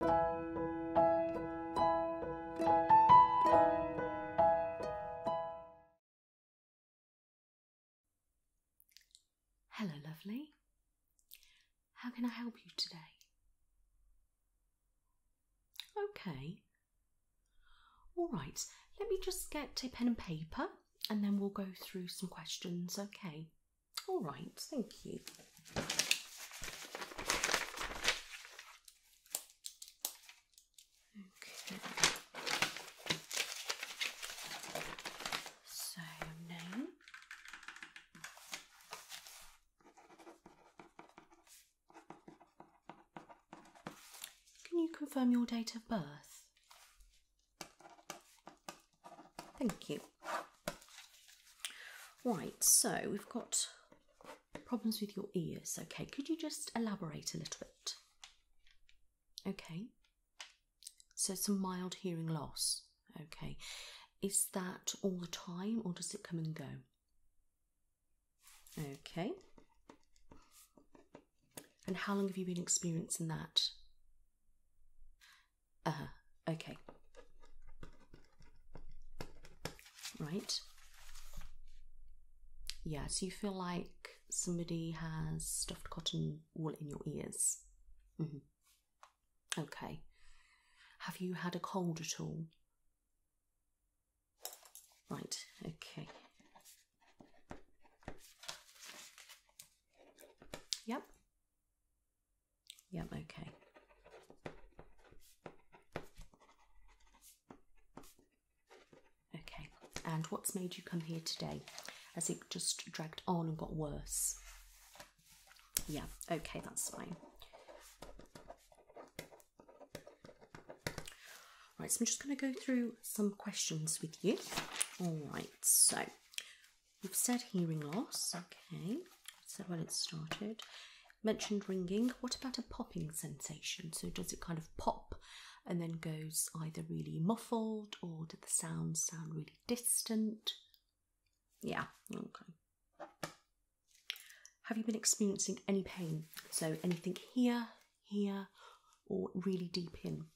Hello, lovely. How can I help you today? Okay. All right, let me just get a pen and paper and then we'll go through some questions, okay? All right, thank you. So now can you confirm your date of birth? Thank you. Right, so we've got problems with your ears. Okay, could you just elaborate a little bit? Okay, so some mild hearing loss. Okay, is that all the time or does it come and go? Okay, and how long have you been experiencing that? Uh, Okay. Right. Yeah, so you feel like somebody has stuffed cotton wool in your ears. Mm-hmm. Okay. Have you had a cold at all? Right, okay. Yep. Yeah. okay. Okay, and what's made you come here today? As it just dragged on and got worse? Yeah, okay, that's fine. Right, so I'm just going to go through some questions with you. All right, so we've said hearing loss, okay. So when it started. Mentioned ringing. What about a popping sensation? So does it kind of pop and then goes either really muffled or did the sound sound really distant? Yeah, okay. Have you been experiencing any pain? So anything here, here, or really deep in?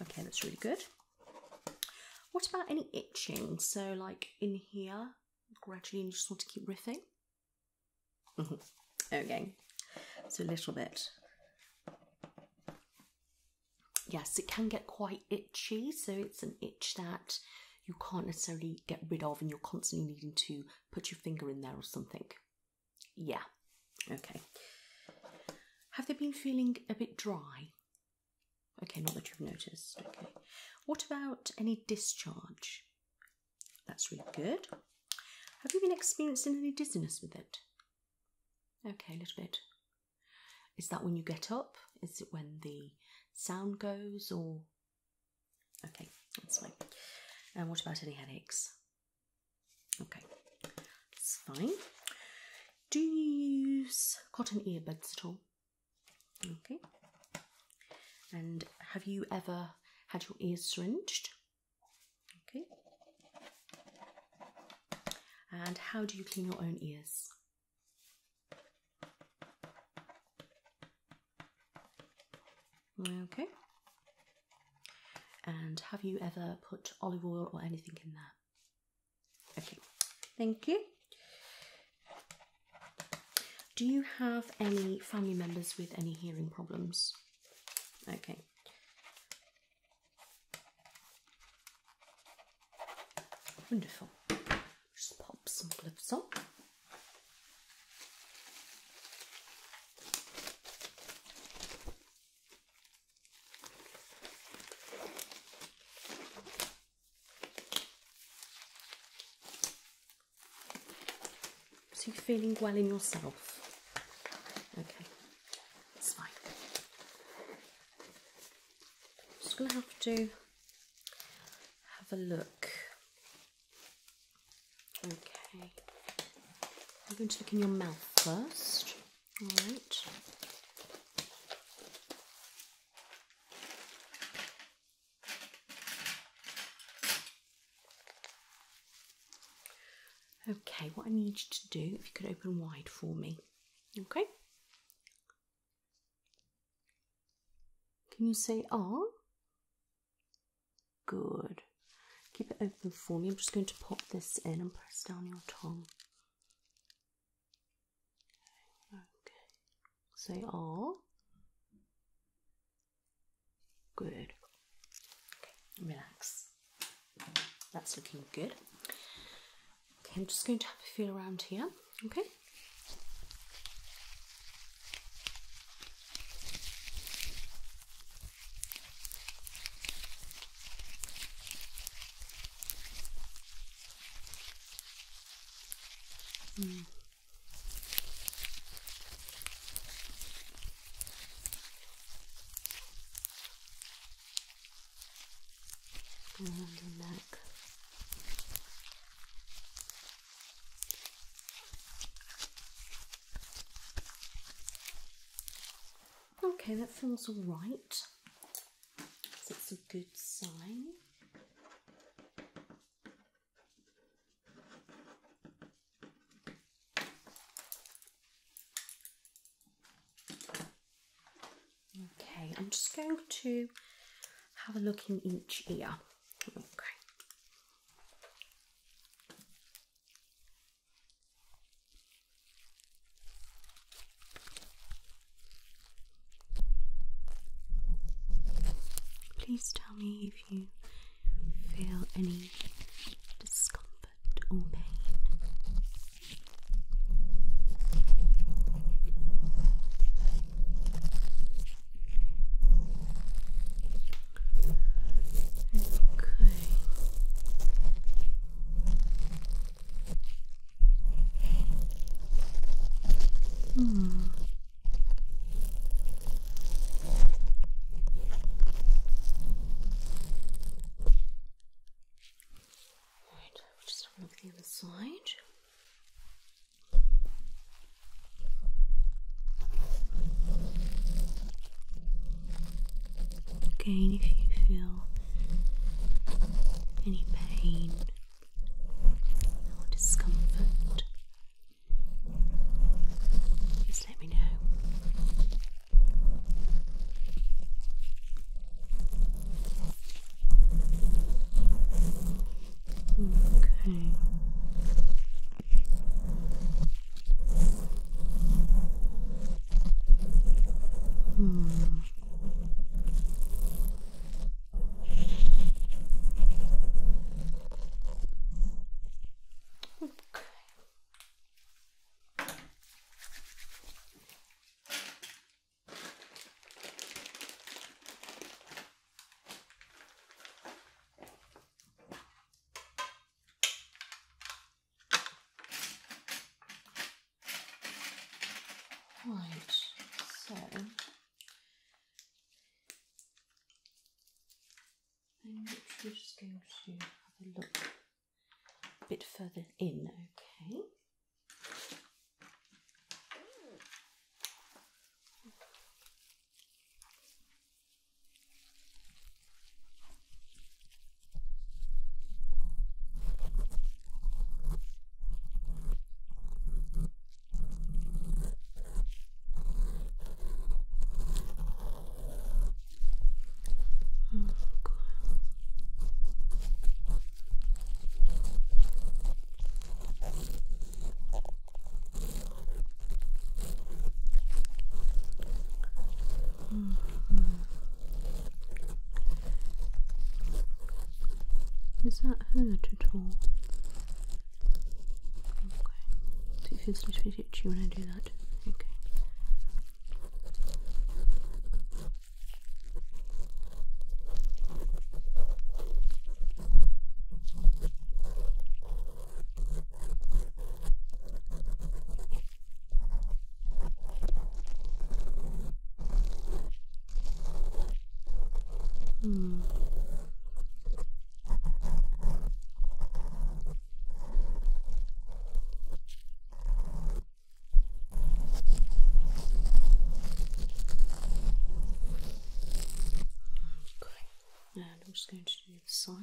Okay, that's really good. What about any itching? So like in here, gradually and you just want to keep riffing. Mm-hmm. Okay, so a little bit. Yes, it can get quite itchy, so it's an itch that you can't necessarily get rid of, and you're constantly needing to put your finger in there or something. Yeah, okay. Have they been feeling a bit dry? Okay, not that you've noticed. Okay. What about any discharge? That's really good. Have you been experiencing any dizziness with it? Okay, a little bit. Is that when you get up? Is it when the sound goes or? Okay, that's fine. And what about any headaches? Okay, it's fine. Do you use cotton earbuds at all? Okay. And have you ever had your ears syringed? Okay. And how do you clean your own ears? Okay. And have you ever put olive oil or anything in there? Okay. Thank you. Do you have any family members with any hearing problems? Okay. Wonderful. Just pop some gloves on. So you're feeling well in yourself. Okay, that's fine. I'm just going to have to have a look. Okay, I'm going to look in your mouth first. All right. Okay, what I need you to do, if you could open wide for me. Okay. Can you say "ah"? Good. Keep it open for me. I'm just going to pop this in and press down your tongue say all. Good. Okay, relax. That's looking good. Okay, I'm just going to have a feel around here. Okay. Mm around your neck. Okay, that feels alright. That's a good sign. Okay, I'm just going to have a look in each ear. Okay. Please tell me if you feel any discomfort or pain. Okay. Hmm. Right, we just have a look the other side. Again, if you feel any pain or discomfort, just let me know. Okay. Hmm. Okay. Right, so I'm literally just going to have a look a bit further in, okay? Oh, mm -hmm. Is that hurt at all? Okay. So it feels a little bit itchy when I do that. Okay. Hmm. Okay, and I'm just going to do the side.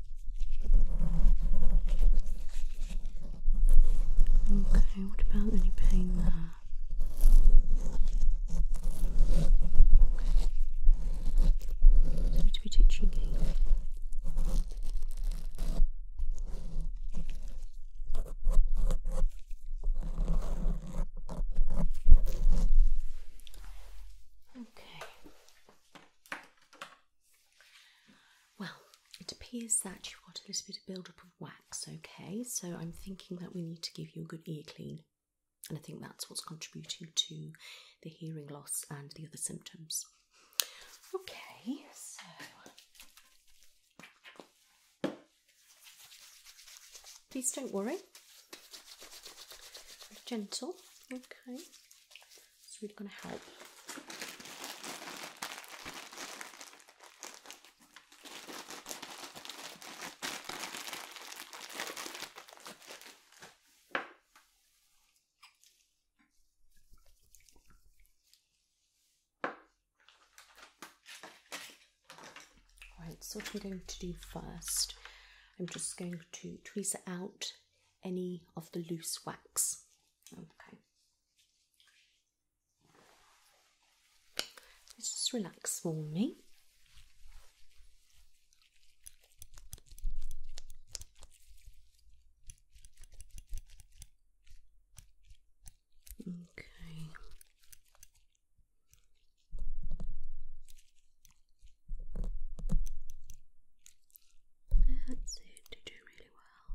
Okay, what about any pain there? Okay. So to be Okay. Well, it appears that you've got a little bit of build-up of wax, okay? So I'm thinking that we need to give you a good ear clean. And I think that's what's contributing to the hearing loss and the other symptoms. Okay, so please don't worry. Be gentle, okay. It's really going to help. Right, so what I'm going to do first, I'm just going to tweeze it out any of the loose wax. Okay. Let's just relax for me. Okay. That's it, you do really well.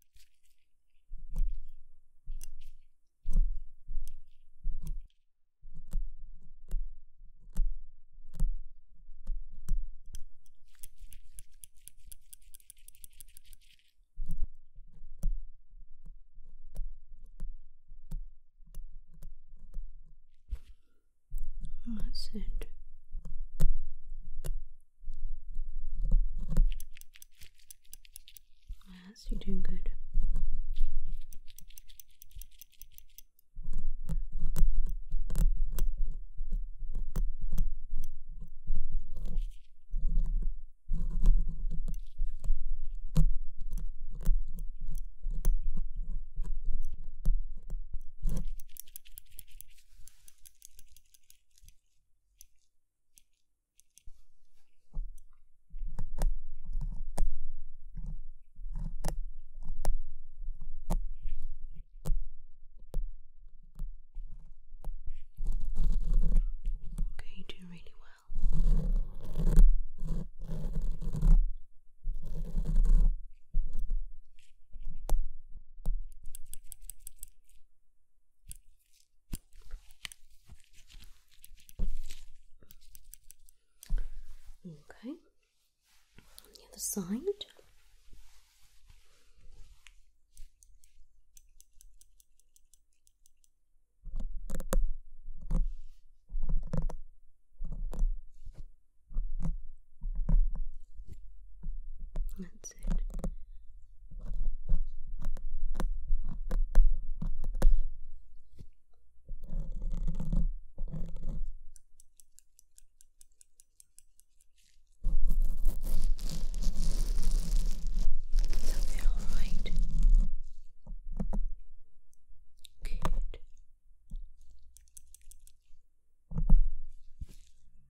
Oh, that's it. Yes, you're doing good. Okay, you do really well. Okay, on the other side. That's it. Does that feel alright? Good.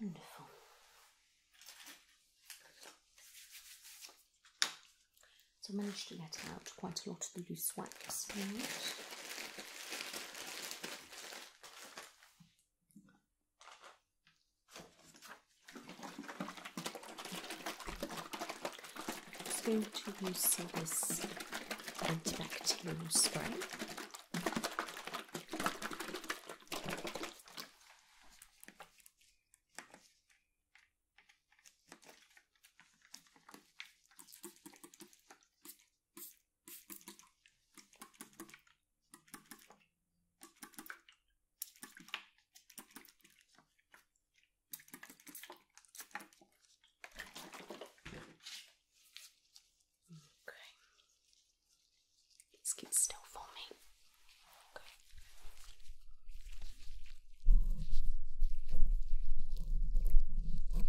Wonderful. So I managed to get out quite a lot of the loose wax I'm just going to use some this antibacterial spray. Okay. Let's keep still for me. Okay. Okay.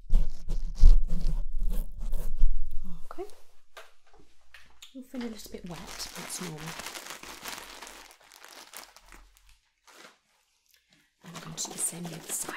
Okay. You'll feel a little bit wet, that's normal. I'm going to do the same the other side.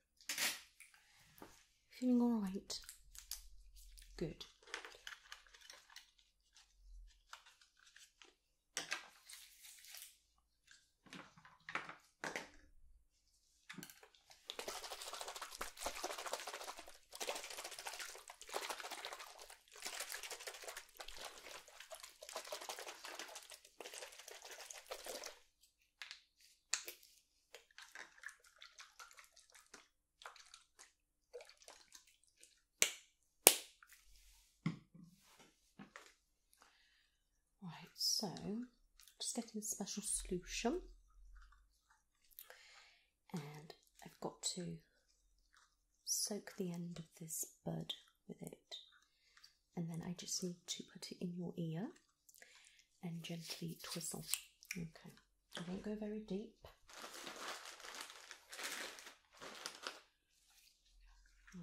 Feeling all right? Good. Right, so just getting a special solution, and I've got to soak the end of this bud with it, and then I just need to put it in your ear and gently twizzle. Okay, I won't go very deep. Okay.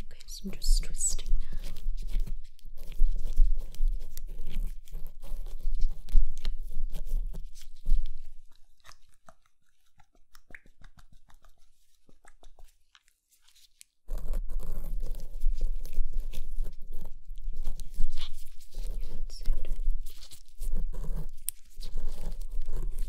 Okay, so I'm just twisting now. That's it.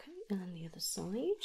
Okay, and then the other side.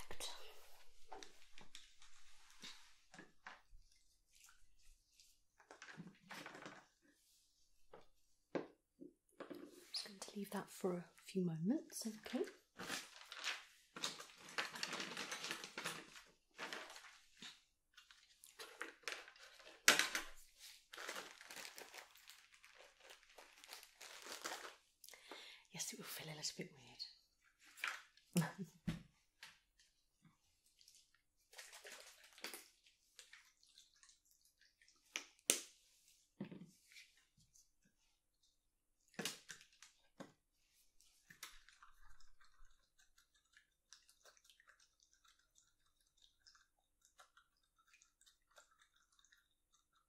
I'm just going to leave that for a few moments, okay? Yes, it will feel a little bit weird.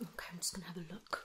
Okay, I'm just going to have a look.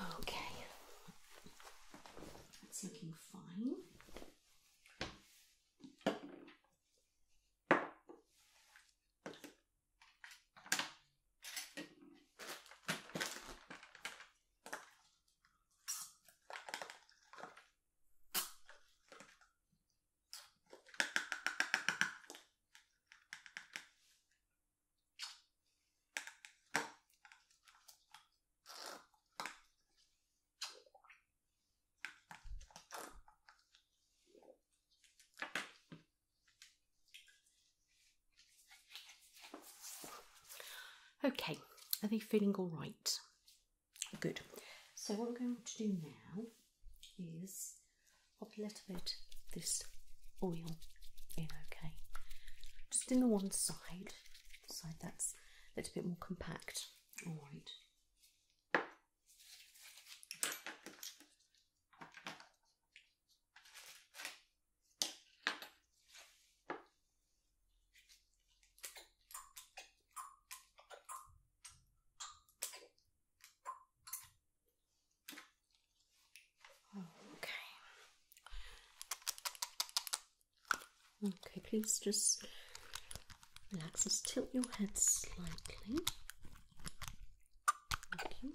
Okay, that's looking fine. Okay, are they feeling all right? Good. So what we're going to do now is pop a little bit this oil in, okay? Just in the one side, side that's a little bit more compact. All right. Okay. Okay, please just relax. Just tilt your head slightly. Thank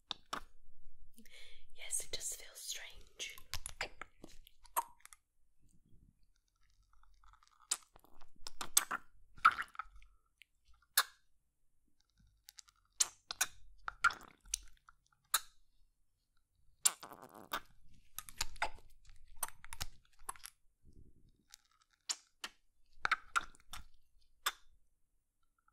Yes, it does feel strange.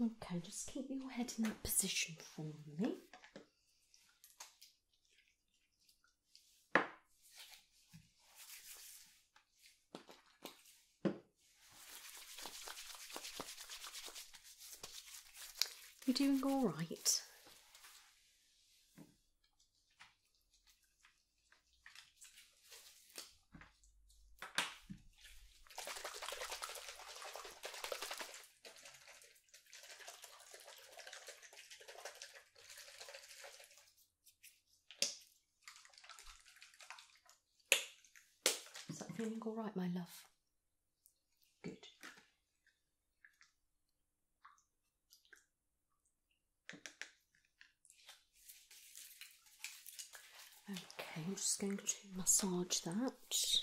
Okay, just keep your head in that position for me. You're doing all right. Is that feeling all right, my love? Good. Okay, I'm just going to massage that.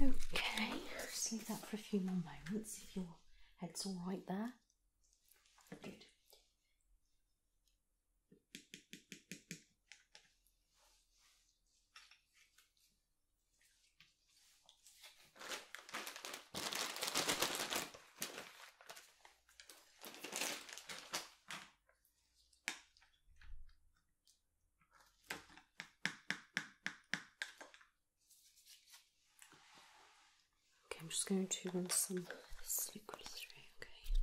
Okay, just leave that for a few more moments if your head's all right there. Good. Okay, I'm just going to run some this liquid through, okay.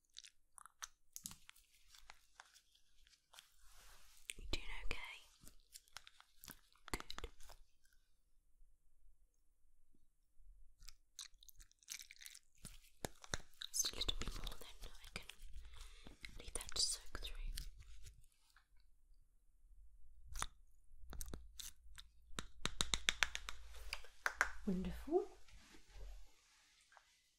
You doing okay? Good. Just a little bit more, then I can leave that to soak through. Wonderful.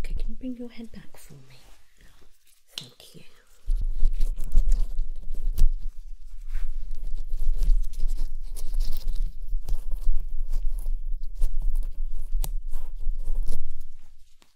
Okay, can you bring your head back for me? Thank you.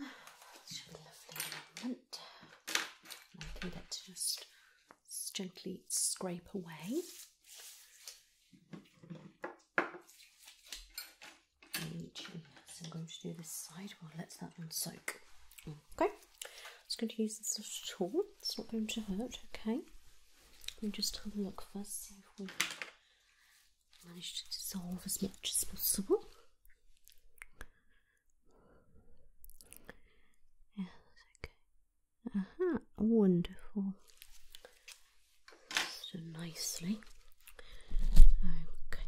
lovely element. I can get to just gently scrape away. I'm going to do this side while well, let that one soak. Okay, I'm just going to use this little tool. It's not going to hurt. Okay, let me just have a look first, see if we manage to dissolve as much as possible. Yes, okay. Uh huh. wonderful. So nicely. Okay. Okay.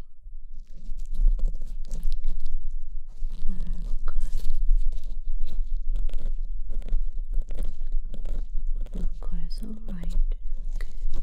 Okay, alright. Good.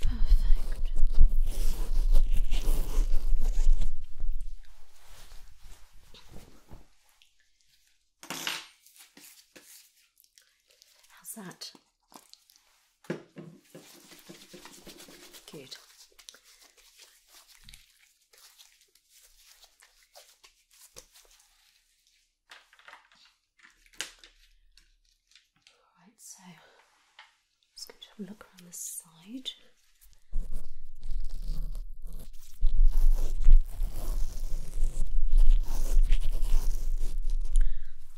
Perfect. How's that? Good. All right, so just going to have a look around the side.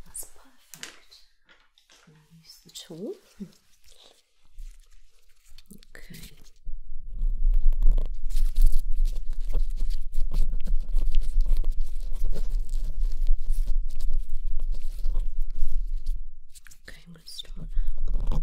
That's perfect. use the tool. okay. Okay, I'm going to start now. Okay,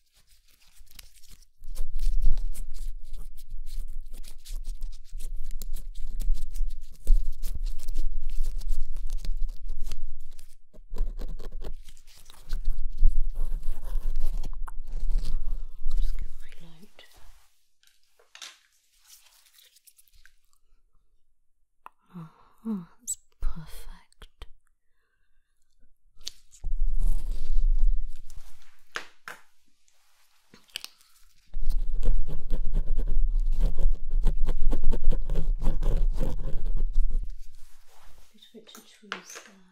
Just get my light. Oh, that's perfect. Bit for it to choose there. Uh,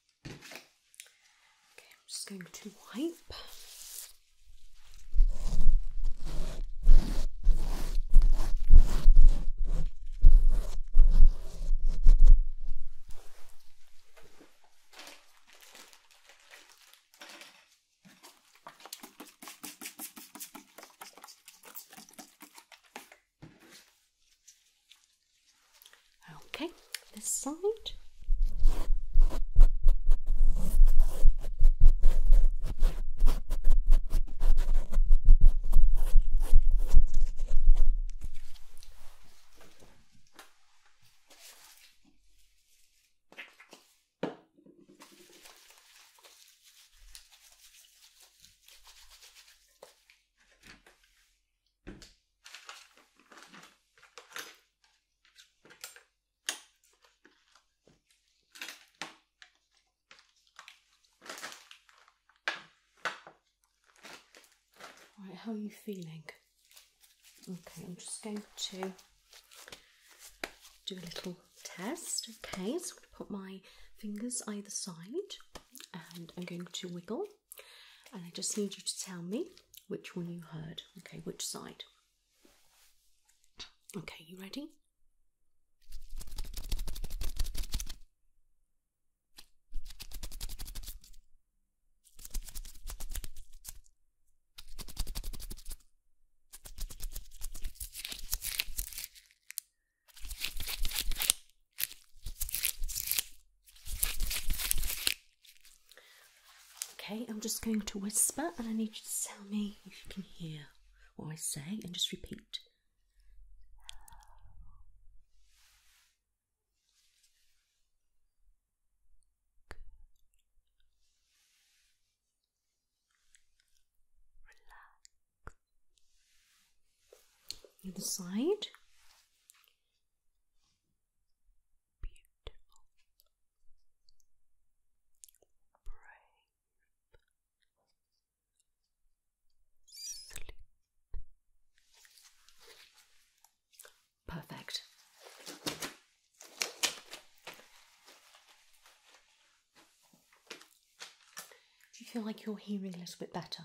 Okay, I'm just going to wipe. Okay, this side. Right, how are you feeling? Okay, I'm just going to do a little test. Okay, so I'm going to put my fingers either side and I'm going to wiggle and I just need you to tell me which one you heard. Okay, which side? Okay, you ready? Okay, I'm just going to whisper and I need you to tell me if you can hear what I say and just repeat. Relax. Other side beautiful, brave, sleep. Perfect. Do you feel like you're hearing a little bit better?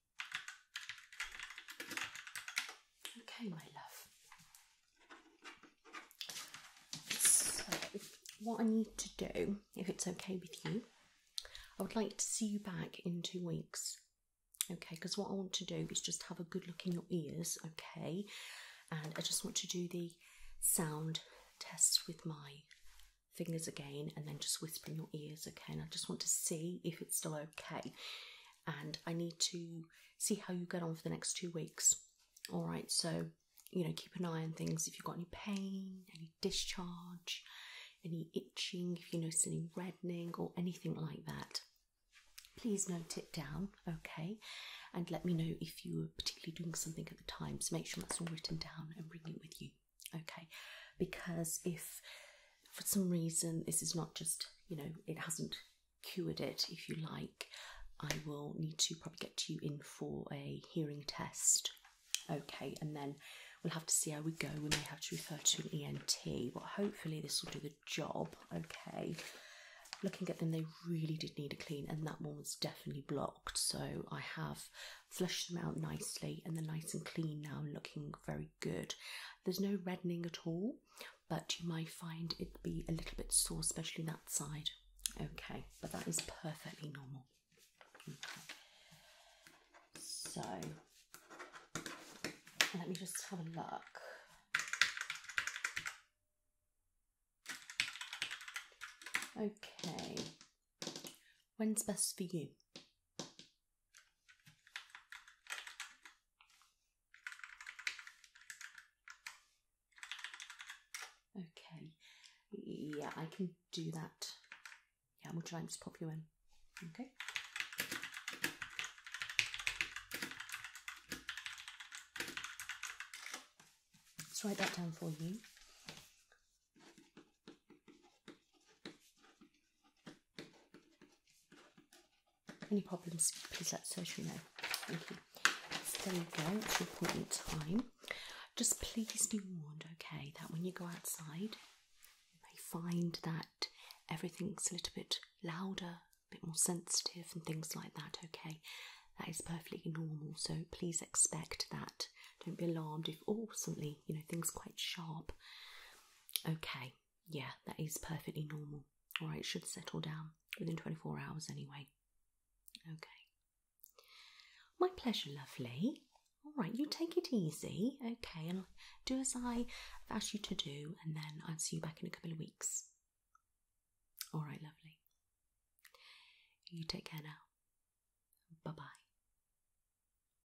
Okay, my love. So, what I need to do, if it's okay with you, I would like to see you back in two weeks. Okay, because what I want to do is just have a good look in your ears, okay? And I just want to do the sound tests with my fingers again and then just whisper in your ears again. I just want to see if it's still okay. And I need to see how you get on for the next two weeks. All right, so you know, keep an eye on things if you've got any pain, any discharge, any itching, if you notice any reddening or anything like that. Please note it down, okay? And let me know if you were particularly doing something at the time. So make sure that's all written down and bring it with you okay because if for some reason this is not just you know it hasn't cured it if you like i will need to probably get you in for a hearing test okay and then we'll have to see how we go we may have to refer to an ent but hopefully this will do the job okay looking at them they really did need a clean and that one was definitely blocked so i have flushed them out nicely and they're nice and clean now looking very good. There's no reddening at all, but you might find it be a little bit sore, especially that side. Okay, but that is perfectly normal. So let me just have a look. Okay, When's best for you? Okay. Yeah, I can do that. Yeah, we'll try and just pop you in. Okay. Let's write that down for you. Any problems, please let the surgery know. there you go, it's your time. Just please be warned, okay, that when you go outside, you may find that everything's a little bit louder, a bit more sensitive, and things like that, okay? That is perfectly normal, so please expect that. Don't be alarmed if, oh, suddenly, you know, things quite sharp. Okay, yeah, that is perfectly normal. All right, should settle down within 24 hours anyway. Okay. My pleasure, lovely. All right, you take it easy, okay, and do as I've asked you to do, and then I'll see you back in a couple of weeks. All right, lovely. You take care now. Bye bye.